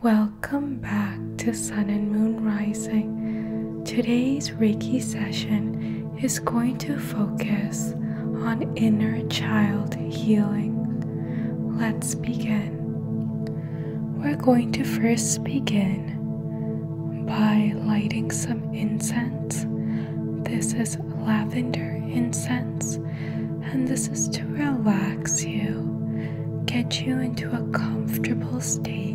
Welcome back to Sun and Moon Rising. Today's Reiki session is going to focus on inner child healing. Let's begin. We're going to first begin by lighting some incense. This is lavender incense and this is to relax you, get you into a comfortable state.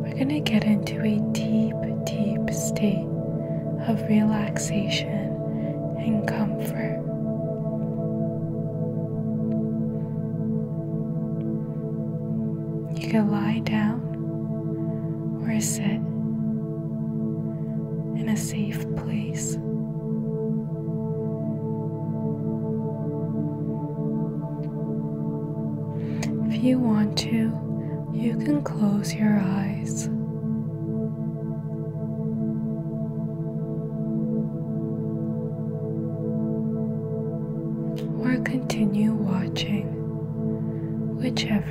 We're going to get into a deep, deep state of relaxation and comfort. You can lie down or sit in a safe place. If you want to, you can close your eyes. Or continue watching, whichever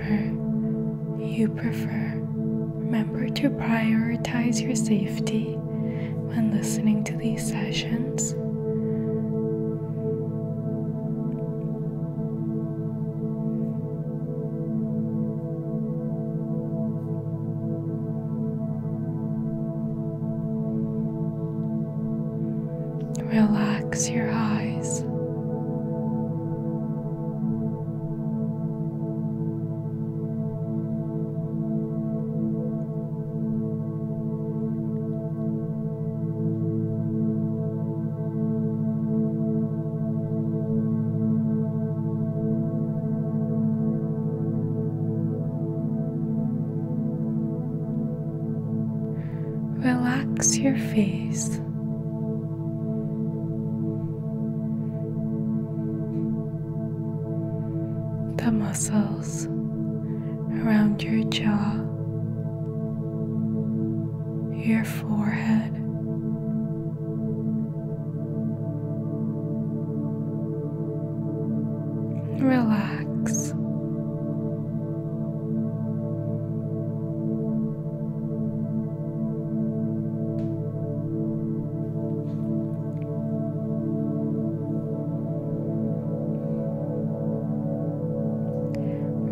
you prefer. Remember to prioritize your safety when listening to these sessions. Relax your eyes. Relax your face. The muscles around your jaw, your forehead, relax.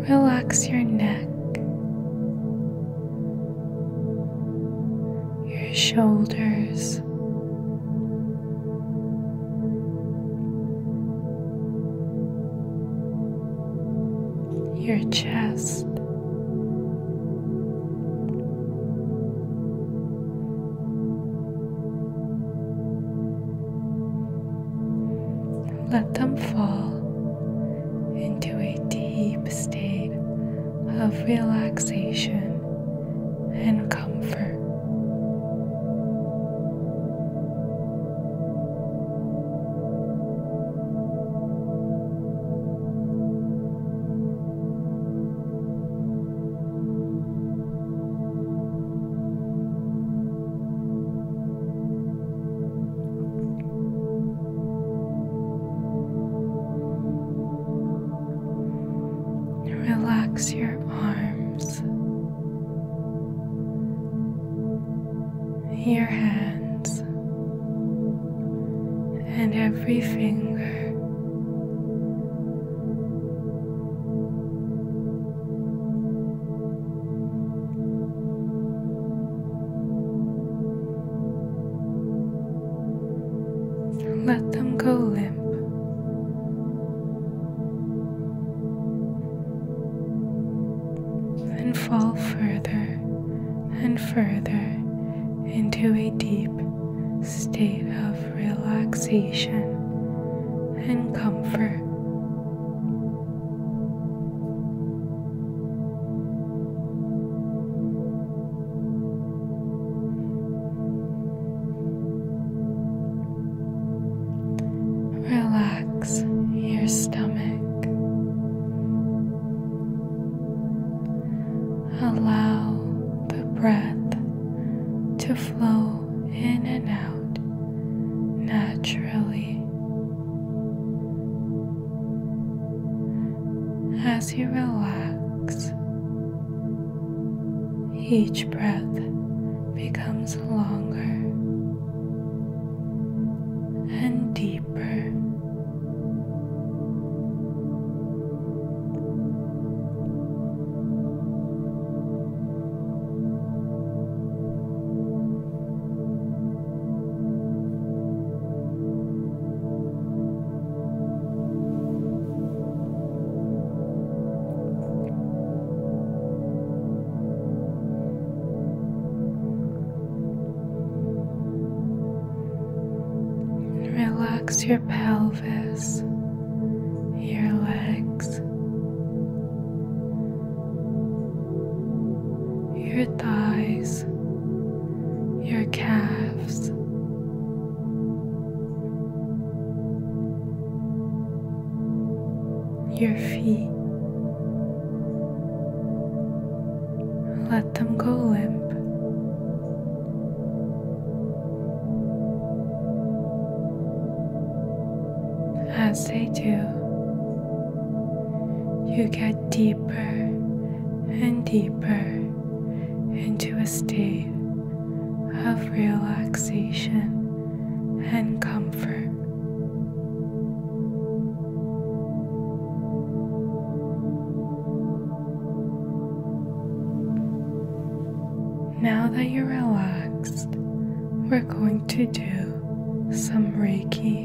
Relax your neck, your shoulders your chest. Let them fall into a deep state of relaxation and comfort. Relax your arms your hands and every finger. Let them go limp then fall further and further into a deep state of relaxation and comfort. Relax your stomach. Allow the breath to flow in and out naturally. As you relax, each breath becomes longer and deeper. Relax your pelvis, your legs, your thighs, your calves your feet. Let them go limp. As they do, you get deeper and deeper into a state of relaxation and comfort. Now that you're relaxed, we're going to do some Reiki.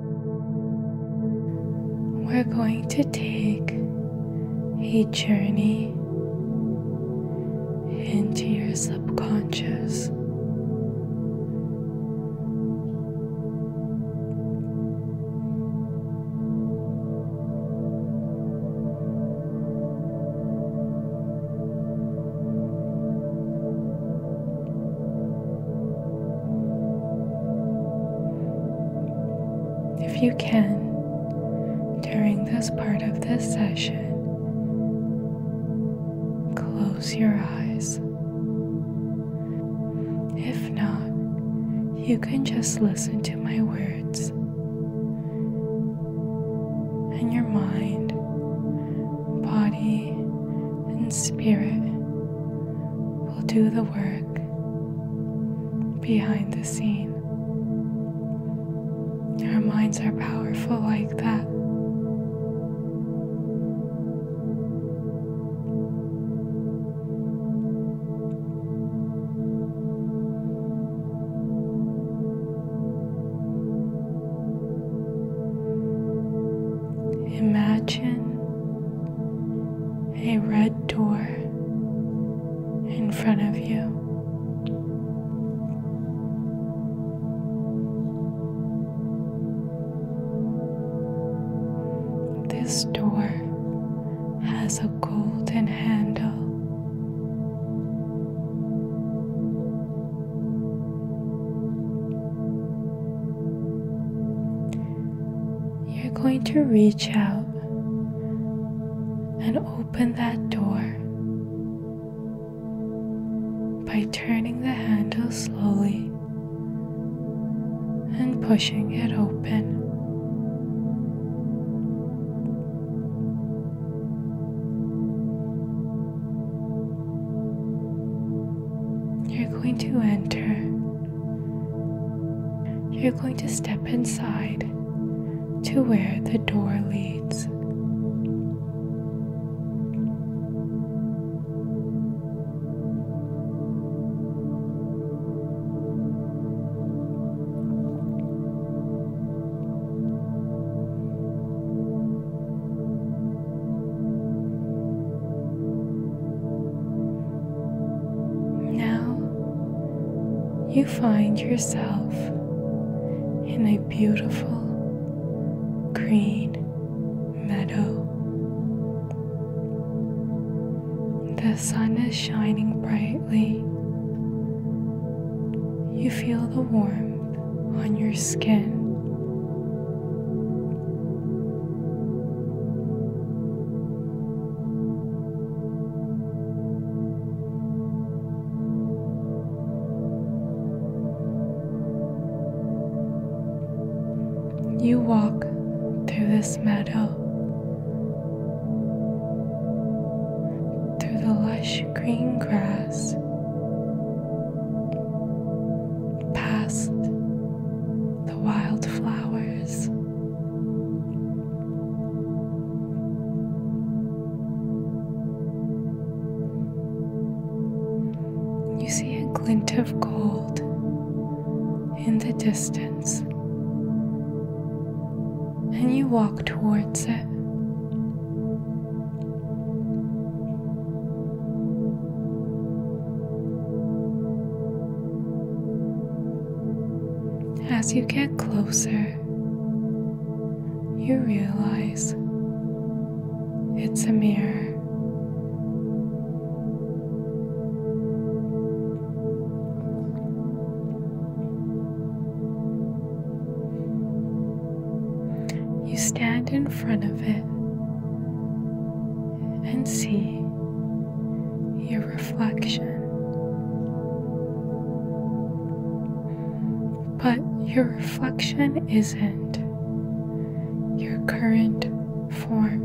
We're going to take a journey into your subconscious. If you can, during this part of this session, close your eyes. If not, you can just listen to my words. And your mind, body, and spirit will do the work behind the scene. Our minds are powerful like that. Imagine a red door in front of you. This door has a golden handle. You're going to reach out and open that door by turning the handle slowly and pushing it open. You're going to enter. You're going to step inside to where the door leads. Now you find yourself in a beautiful green meadow. The sun is shining brightly. You feel the warmth on your skin. You walk through this meadow, through the lush green grass past the wildflowers. You see a glint of gold in the distance, and you walk towards it. As you get closer, you realize it's a mirror. You stand in front of it and see your reflection. But your reflection isn't your current form,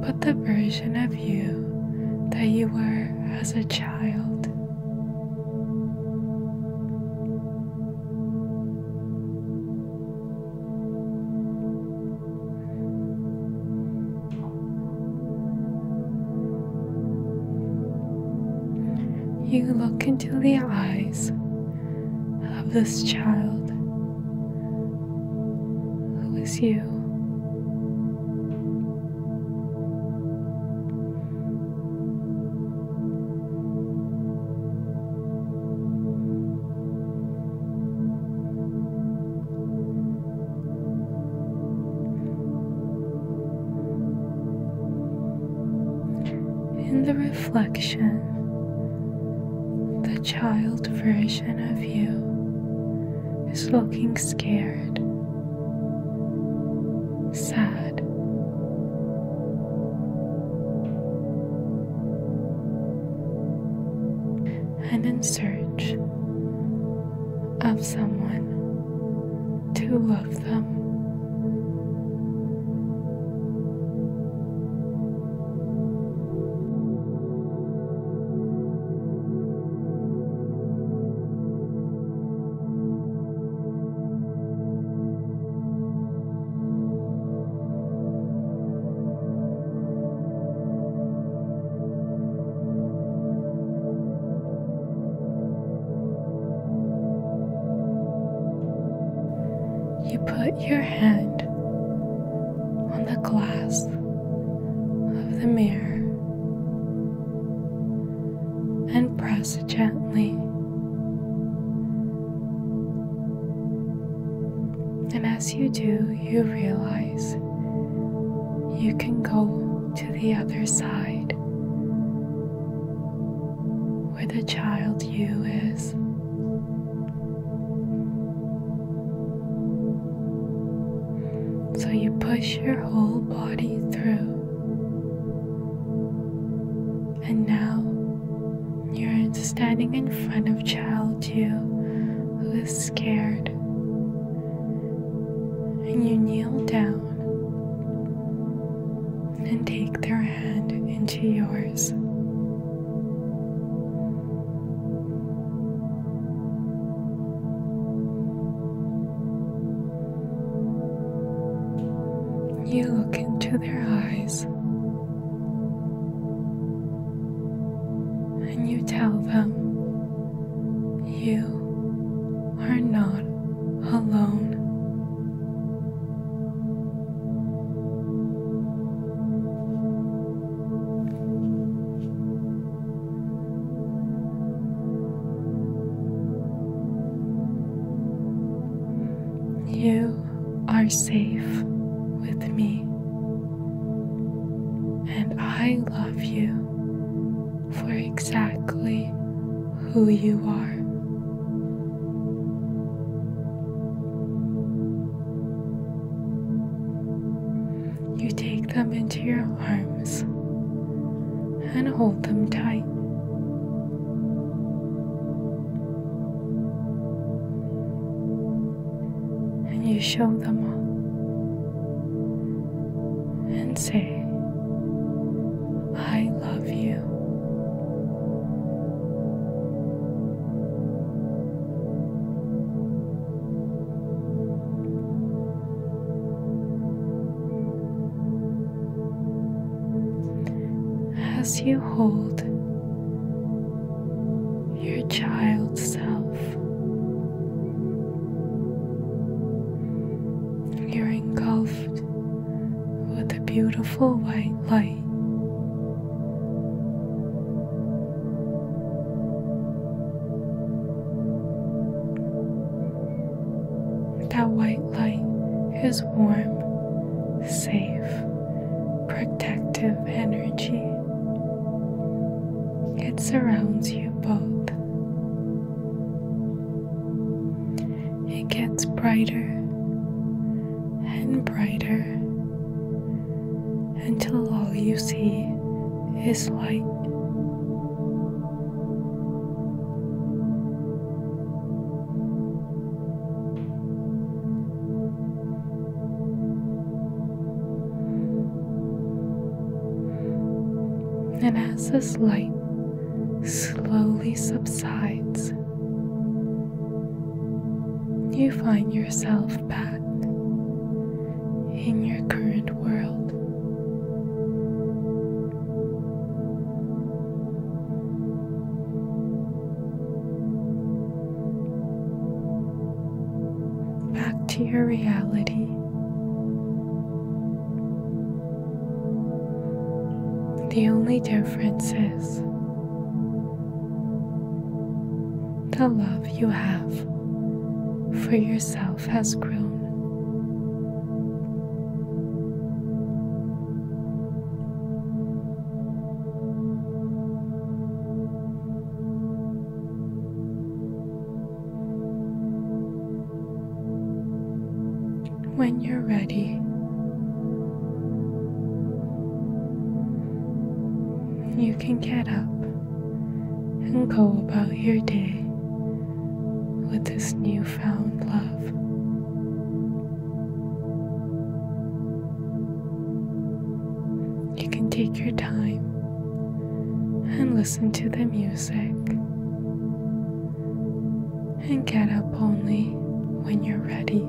but the version of you that you were as a child. You look into the eyes of this child who is you. In the reflection, the child version of you is looking scared sad. And in search of someone to love them. You put your hand on the glass of the mirror and press gently. And as you do, you realize you can go to the other side where the child you is. So you push your whole body through. And now you're standing in front of child you who is scared. And you kneel down and take their hand into yours. You look into their eyes and you tell them you are not alone. You are safe with me, and I love you for exactly who you are. You take them into your arms and hold them tight. And you show them all, and say, I love you. As you hold your child self, you're engulfed with a beautiful white light. That white light is warm, safe, protective energy. It surrounds you both. It gets brighter and brighter until all you see is light. And as this light slowly subsides, you find yourself back in your current world. Back to your reality. The only difference is the love you have for yourself itself has grown. When you're ready, you can get up and go about your day with this newfound love. You can take your time and listen to the music and get up only when you're ready.